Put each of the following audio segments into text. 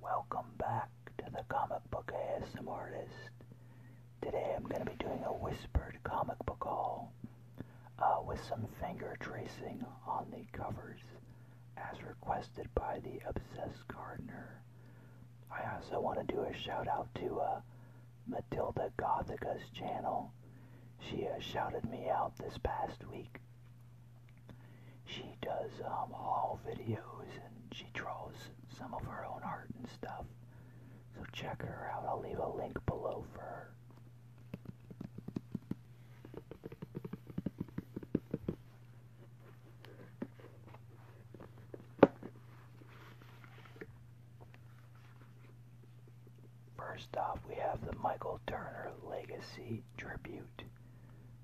Welcome back to the Comic Book ASM Artist. Today I'm going to be doing a whispered comic book haul uh, with some finger tracing on the covers as requested by the Obsessed Gardener. I also want to do a shout out to uh, Matilda Gothica's channel. She uh, shouted me out this past week she does um, all videos and she draws some of her own art and stuff. So check her out. I'll leave a link below for her. First off, we have the Michael Turner Legacy tribute.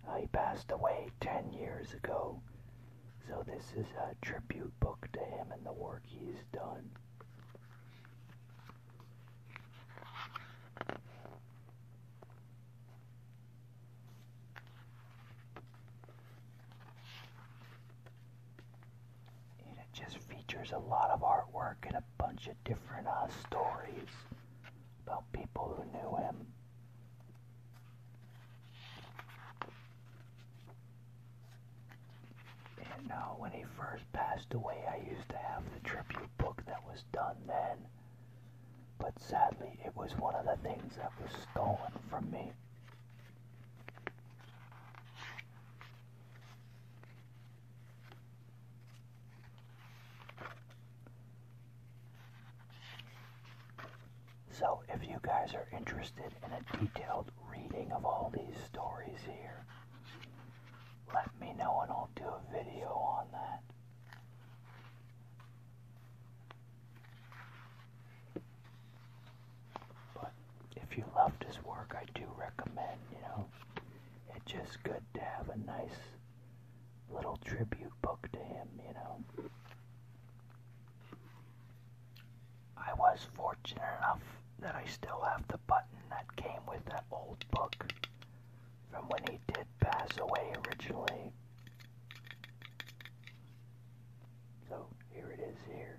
Uh, he passed away 10 years ago, so this is a tribute book to him and the work he's done. And it just features a lot of artwork and a bunch of different uh, stories about people who knew him. And now, uh, when he first passed away, I used to have the tribute book that was done then. But sadly, it was one of the things that was stolen from me. So, if you guys are interested in a detailed reading of all these stories here, let me know and I'll do a video on that. But if you love his work, I do recommend, you know, it's just good to have a nice little tribute book to him, you know. I was fortunate enough that I still have the button that came with that old book from when he did pass away originally. So here it is here.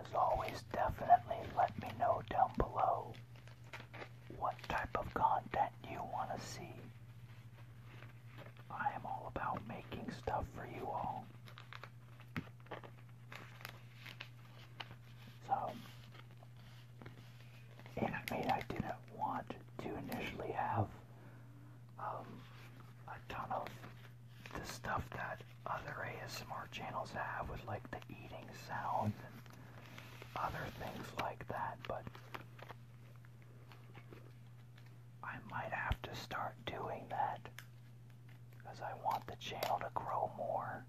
As always, definitely let me know down below what type of content you want to see. I am all about making stuff for you all. So, anime I didn't want to initially have um, a ton of the stuff that other ASMR channels have with like the eating sounds and other things like that, but I might have to start doing that because I want the channel to grow more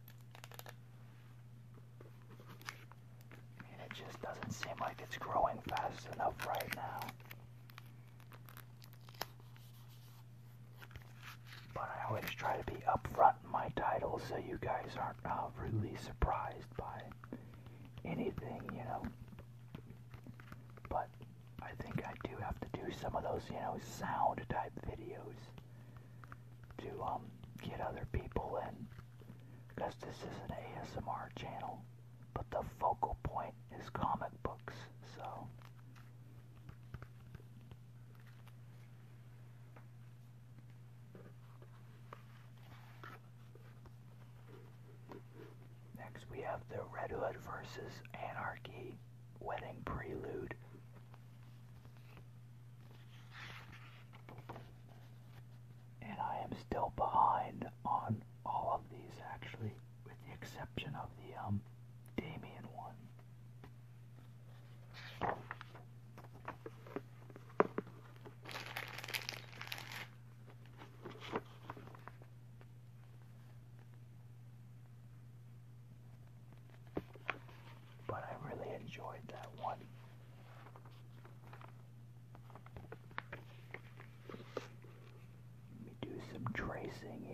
it just doesn't seem like it's growing fast enough right now. But I always try to be upfront in my titles so you guys aren't uh, really surprised by anything, you know. But I think I do have to do some of those, you know, sound type videos to um, get other people in because this is an ASMR channel, but the focal point is comic books, so. Next we have the Red Hood versus Anarchy Wedding Prelude and I am still behind on all of these actually, with the exception of the um, Damien one. But I really enjoyed that one. Let me do some tracing here.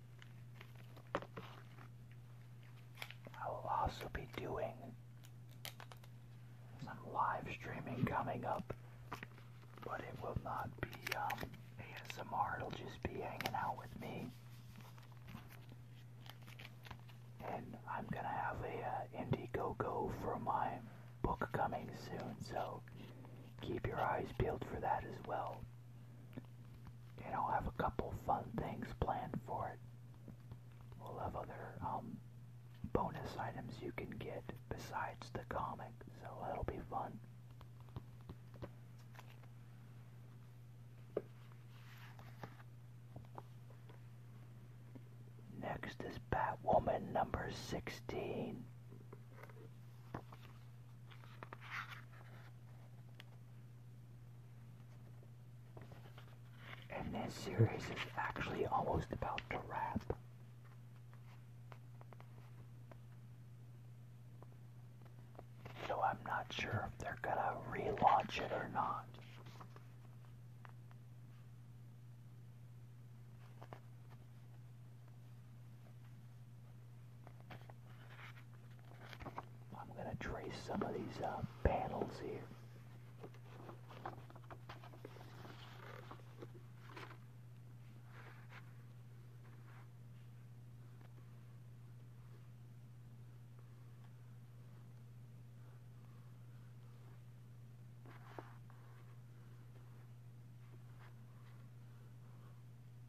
I will also be doing some live streaming coming up, but it will not be um, ASMR, it'll just be hanging out with me. And I'm gonna have a uh, Indiegogo for my book coming soon, so keep your eyes peeled for that as well you know, have a couple fun things planned for it. We'll have other um, bonus items you can get besides the comic, so it will be fun. Next is Batwoman number 16. And this series is actually almost about to wrap. So I'm not sure if they're gonna relaunch it or not. I'm going to trace some of these uh, panels here.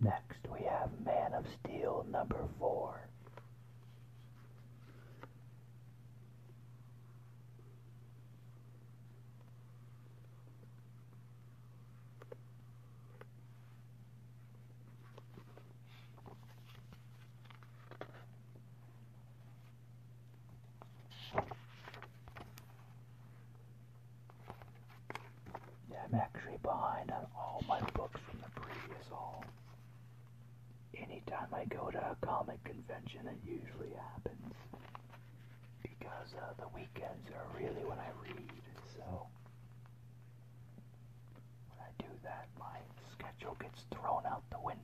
Next, we have Man of Steel number four. Yeah, I'm actually behind on uh, all my books from the previous haul anytime I go to a comic convention, it usually happens because uh, the weekends are really when I read. So when I do that, my schedule gets thrown out the window.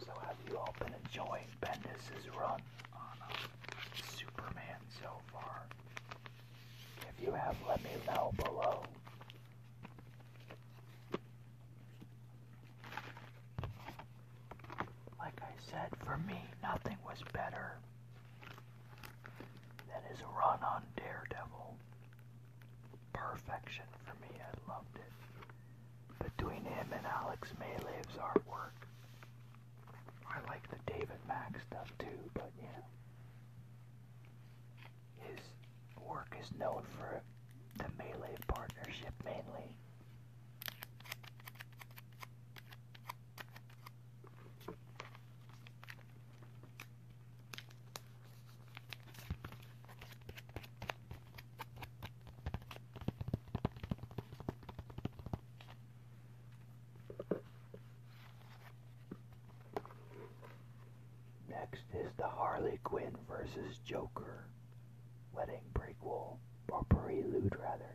So, have you all been enjoying Bendis' run on uh, Superman so far? If you have, let me know below. Like I said, for me, nothing was better than his run on Daredevil. Perfection for me, I loved it between him and Alex Maylive's artwork. I like the David Mack stuff too, but yeah, His work is known for the Maylive partnership mainly. Next is the Harley Quinn versus Joker wedding prequel, or prelude rather.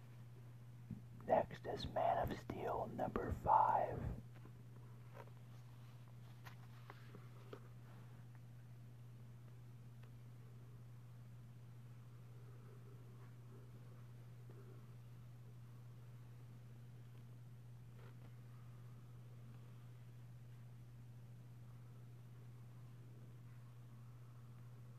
Next is Man of Steel number five.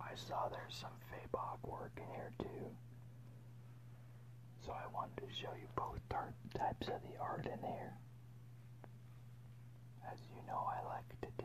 I saw there's some Fabok work in here too. So I wanted to show you both types of the art in here. As you know I like to do.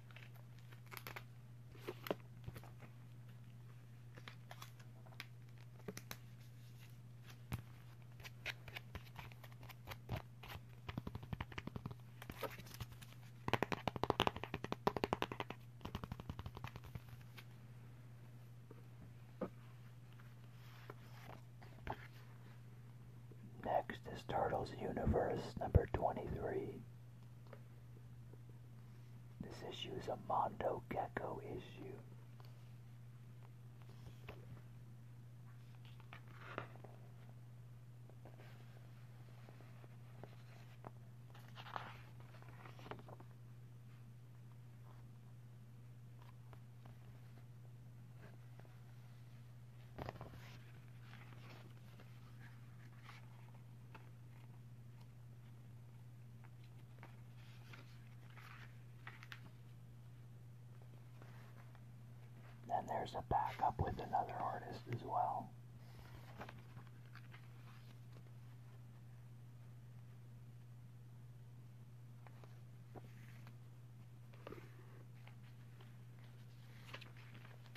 Next is Turtles Universe number 23. This issue is a Mondo Gecko issue. Then there's a backup with another artist as well.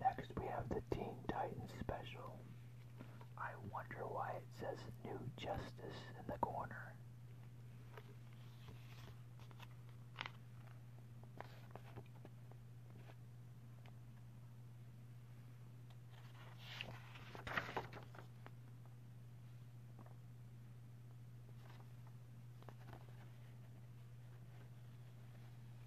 Next, we have the Teen Titans special. I wonder why it says New Justice in the corner.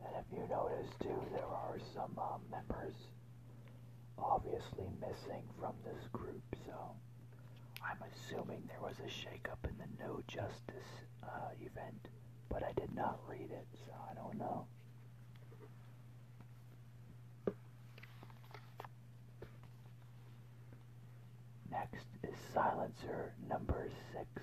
And if you notice too, there are some uh, members obviously missing from this group, so I'm assuming there was a shakeup in the No Justice uh, event, but I did not read it, so I don't know. Next is silencer number six.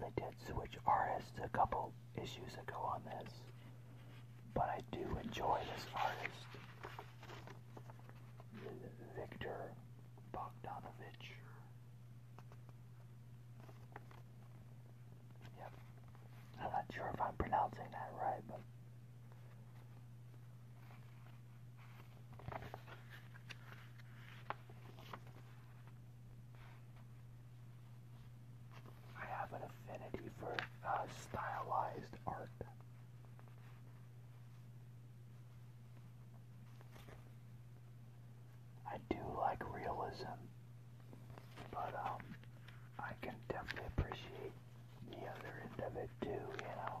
They did switch artists a couple issues ago on this, but I do enjoy this artist, Victor Bogdanovich. Yep, I'm not sure if I'm pronouncing that right, but. I have an affinity for uh, stylized art. I do like realism, but um, I can definitely appreciate the other end of it too, you know.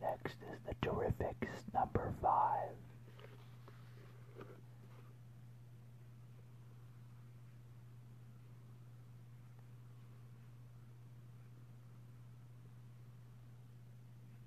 Next is the Terrifics number five.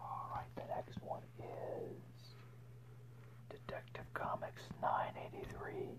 All right, the next one is Detective Comics 983.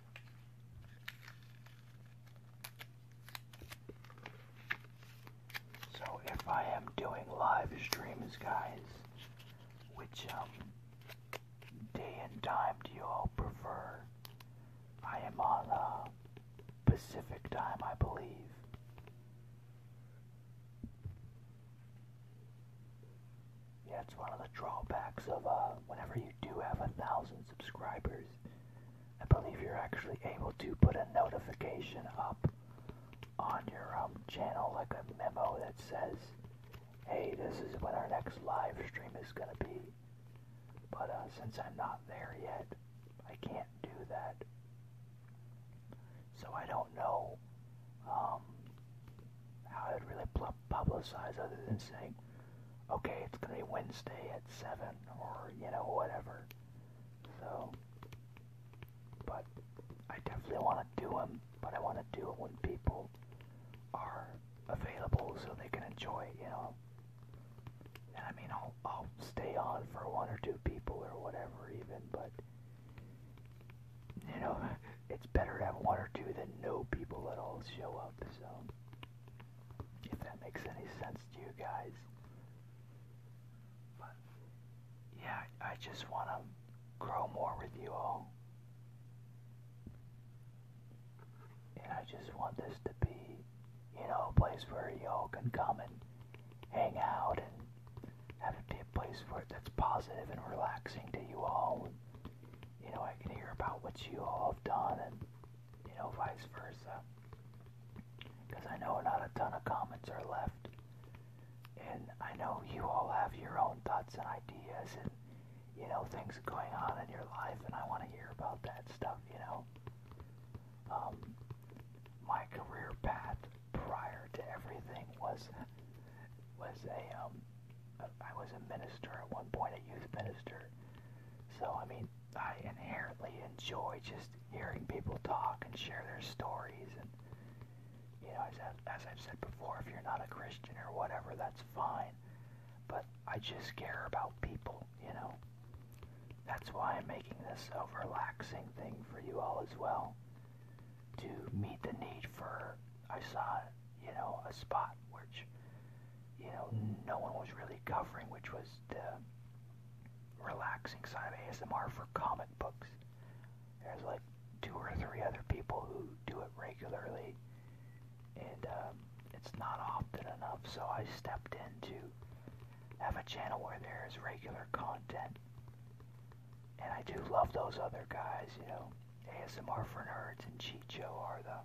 So if I am doing live streams, guys, which um, day and time do you all prefer? I am on uh, Pacific time, I believe. Yeah, it's one of the drawbacks of uh, whenever you do have a thousand subscribers. I believe you're actually able to put a notification up on your um, channel, like a memo that says, "Hey, this is when our next live stream is gonna be." But uh, since I'm not there yet, I can't do that. So I don't know um, how it really publicized other than saying, okay, it's going to be Wednesday at 7 or, you know, whatever. So, but I definitely want to do them, but I want to do it when people are available so they can enjoy it, you know. And I mean, I'll, I'll stay on for one or two people or whatever even, but, you know it's better to have one or two than no people at all show up. So, if that makes any sense to you guys. But, yeah, I just want to grow more with you all. And I just want this to be, you know, a place where y'all can come and hang out and have it be a place where that's positive and relaxing to you all you know, I can hear about what you all have done and, you know, vice versa. Because I know not a ton of comments are left. And I know you all have your own thoughts and ideas and, you know, things going on in your life, and I want to hear about that stuff, you know. Um, my career path prior to everything was was a um, I was a minister at one point, a youth minister. So, I mean, I inherently enjoy just hearing people talk and share their stories. And, you know, as, I've, as I've said before, if you're not a Christian or whatever, that's fine. But I just care about people, you know. That's why I'm making this a relaxing thing for you all as well. To meet the need for I saw, you know, a spot which, you know, hmm. no one was really covering, which was the relaxing side of ASMR for comic books. There's like two or three other people who do it regularly, and um, it's not often enough, so I stepped in to have a channel where there is regular content. And I do love those other guys, you know. ASMR for Nerds and Cheat Joe are the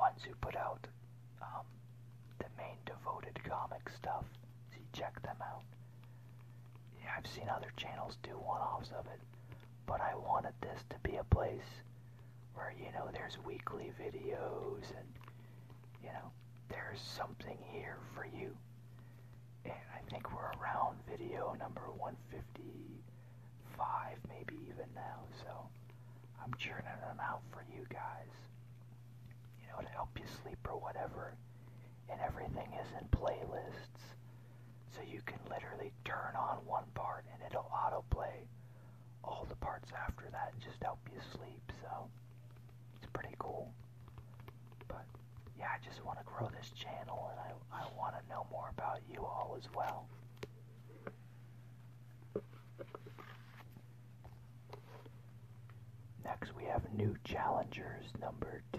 ones who put out um, the main devoted comic stuff. So you check them out. Yeah, I've seen other channels do one-offs of it, but I wanted this to be a place where, you know, there's weekly videos and, you know, there's something here for you. And I think we're around video number 150, five, maybe even now. So I'm churning them out for you guys, you know, to help you sleep or whatever. And everything is in playlists. So you can literally turn on one part and it'll autoplay all the parts after that and just help you sleep. So it's pretty cool. But yeah, I just want to grow this channel and I, I want to know more about you all as well. Next, we have New Challengers number two.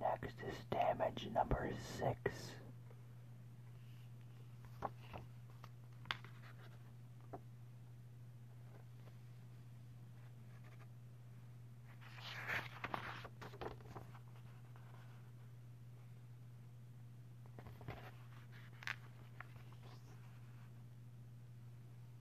Next is damage number six.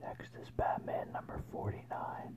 Next is Batman number 49.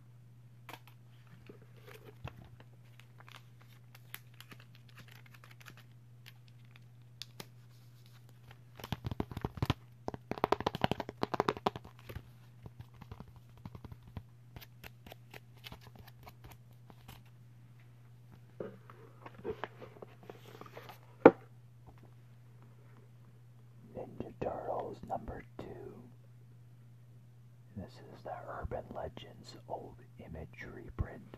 Ninja Turtles number two. This is the Urban Legends Old Image reprint.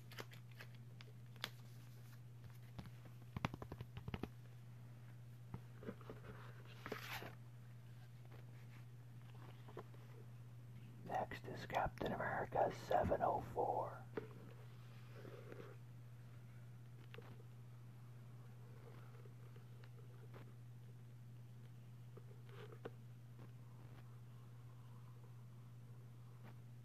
Next is Captain America 704.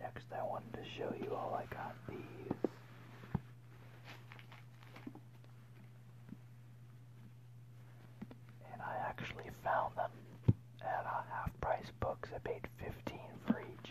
Next, I wanted to show you all I got these. And I actually found them at a half price books. I paid 15 for each.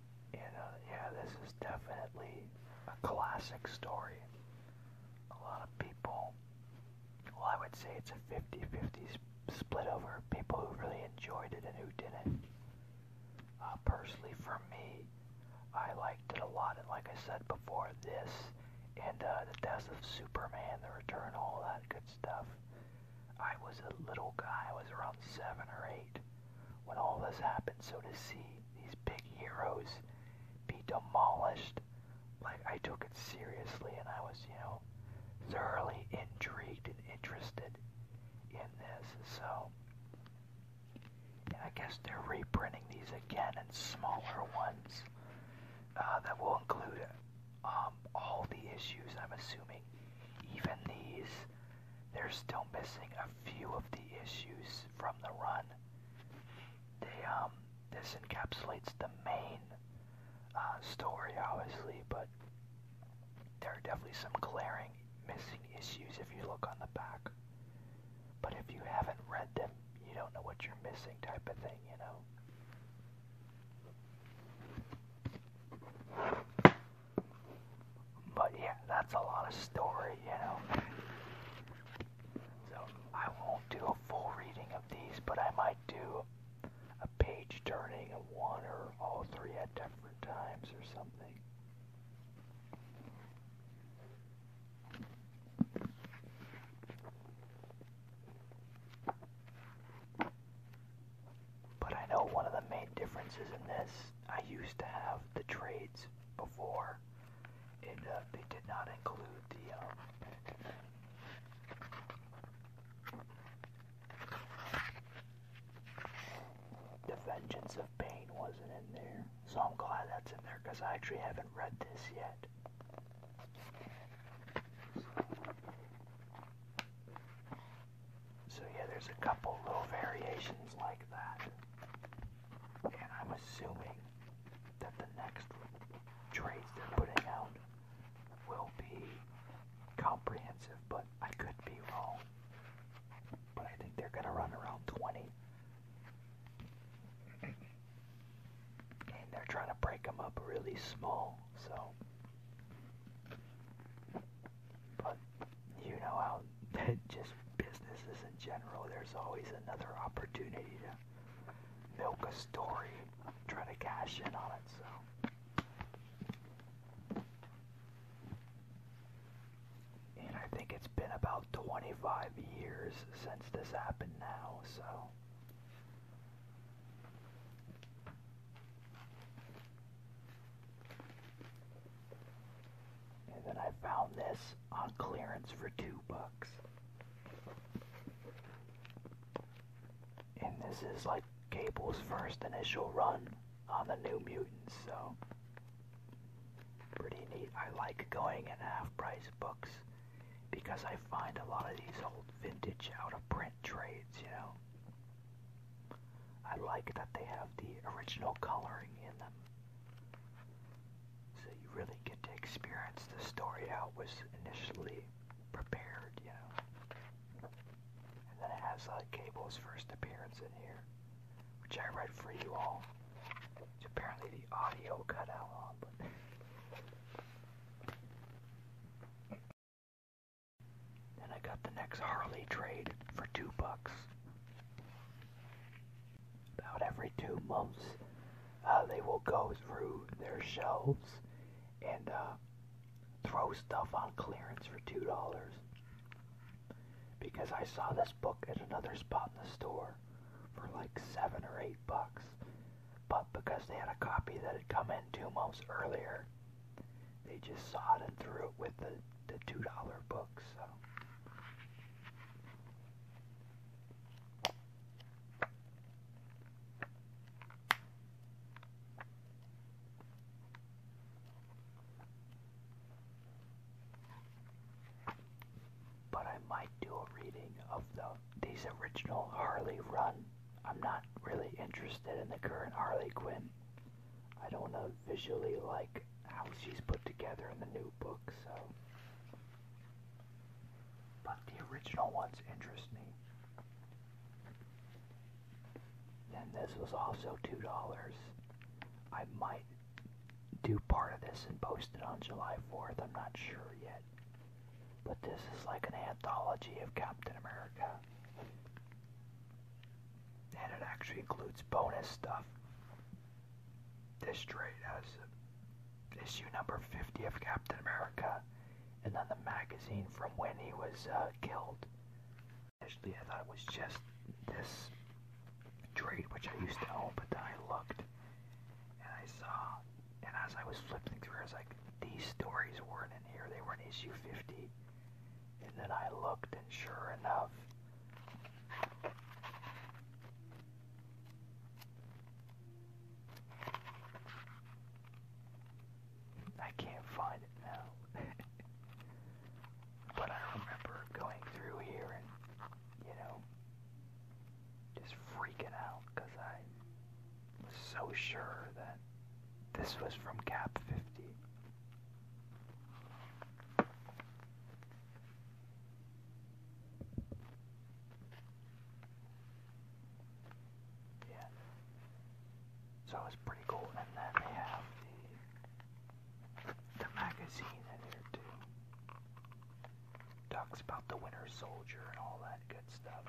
You know, yeah, this is definitely a classic story. A lot of people, well, I would say it's a 50 50 split over people who really enjoyed it and who didn't. Uh, personally, for me, I liked it a lot, and like I said before, this and uh, the death of Superman, the return, all that good stuff. I was a little guy, I was around seven or eight when all this happened. So to see these big heroes be demolished, like I took it seriously and I was, you know, thoroughly intrigued and interested in this. So, and I guess they're reprinting these again in smaller ones uh, that will include um, all the issues, I'm assuming. Even these they're still missing a few of the issues from the run. Um, this encapsulates the main uh, story obviously, but there are definitely some glaring missing issues if you look on the back. But if you haven't read them, you don't know what you're missing type of thing, you know. But yeah, that's a lot of story, you know. So I won't do a full reading of these, but I might do a page turning of one or all three at different times or something. But I know one of the main differences in this, I used to have the trades before and uh, they did not include the um, the Vengeance of Pain wasn't in there, so I'm glad that's in there because I actually haven't read this yet. So yeah, there's a couple little variations like that. And I'm assuming that the next trades they're putting out will be comprehensive, but I could be wrong. But I think they're going to run around 20. And they're trying to break them up really small, so. But you know how than just businesses in general. There's always another opportunity to milk a story, try to cash in on it. So. And I think it's been about 25 years since this happened now, so. And then I found this on clearance for two bucks. And this is like Cable's first initial run on the New Mutants, so pretty neat. I like going in half-price books because I find a lot of these old vintage out-of-print trades, you know. I like that they have the original coloring in them. So you really get to experience the story how it was initially prepared, you know. And then it has like uh, Cable's first appearance in here, which I read for you all. It's apparently the audio cut out on, but. Then I got the next Harley trade for two bucks about every two months, uh, they will go through their shelves and uh, throw stuff on clearance for two dollars. Because I saw this book at another spot in the store for like seven or eight bucks, but because they had a copy that had come in two months earlier, they just sawed and threw it with the the two dollar book. So but I might do a reading of the these original Harley run. I'm not really interested in the current Harley Quinn. I don't know visually like how she's put together in the new Books, so. But the original ones interest me. And this was also $2. I might do part of this and post it on July 4th, I'm not sure yet. But this is like an anthology of Captain America. And it actually includes bonus stuff this trade has issue number 50 of Captain America, and then the magazine from when he was uh, killed. Initially, I thought it was just this trade, which I used to own, but then I looked and I saw, and as I was flipping through, I was like, these stories weren't in here, they were in issue 50. And then I looked, and sure enough, I can't find it now. but I remember going through here and, you know, just freaking out because I was so sure that this was from Cap 50. Yeah. So it's pretty cool. And then they have the, the magazine in here too. Talks about the Winter Soldier and all that good stuff.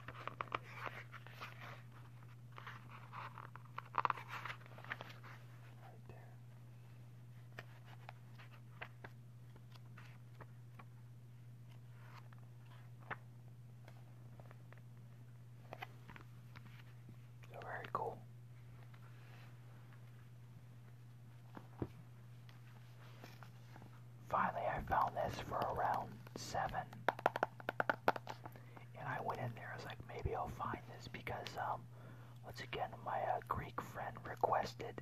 Right there. So very cool. Finally, I found this for around seven, and I went in there. I was like, maybe I'll find this because um, once again, my uh, Greek friend requested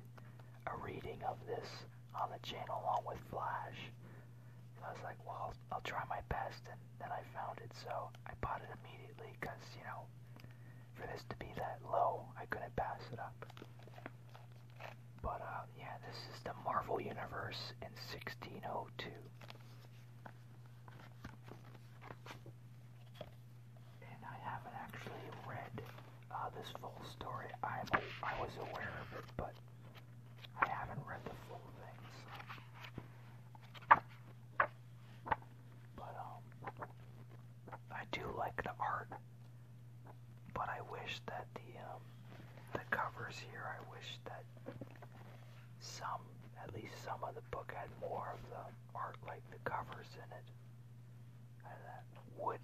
a reading of this on the channel along with Flash. I was like, well, I'll, try my best, and then I found it, so I bought it immediately, because, you know, for this to be that low, I couldn't pass it up. But, uh, yeah, this is the Marvel Universe in 1602 and I haven't actually read uh, this full story. I'm I was aware of it, but I haven't read the full thing. So. But um, I do like the art, but I wish that the um, the covers here. I wish that some, at least some of the book had more of the art like the covers in it that wood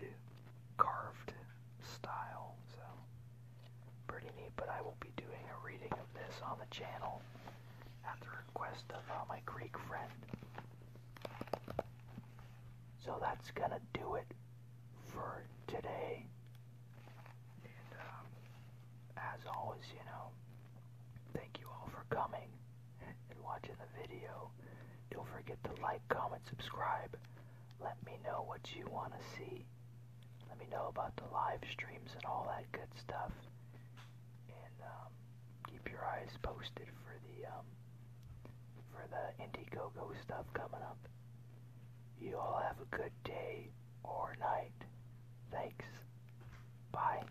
carved style, so pretty neat. But I will be doing a reading of this on the channel at the request of uh, my Greek friend. So that's gonna do it for today. And um, as always, you know, thank you all for coming and watching the video. Don't forget to like, comment, subscribe. Let me know what you want to see. Let me know about the live streams and all that good stuff. And um, keep your eyes posted for the um, for the Indiegogo stuff coming up. You all have a good day or night. Thanks. Bye.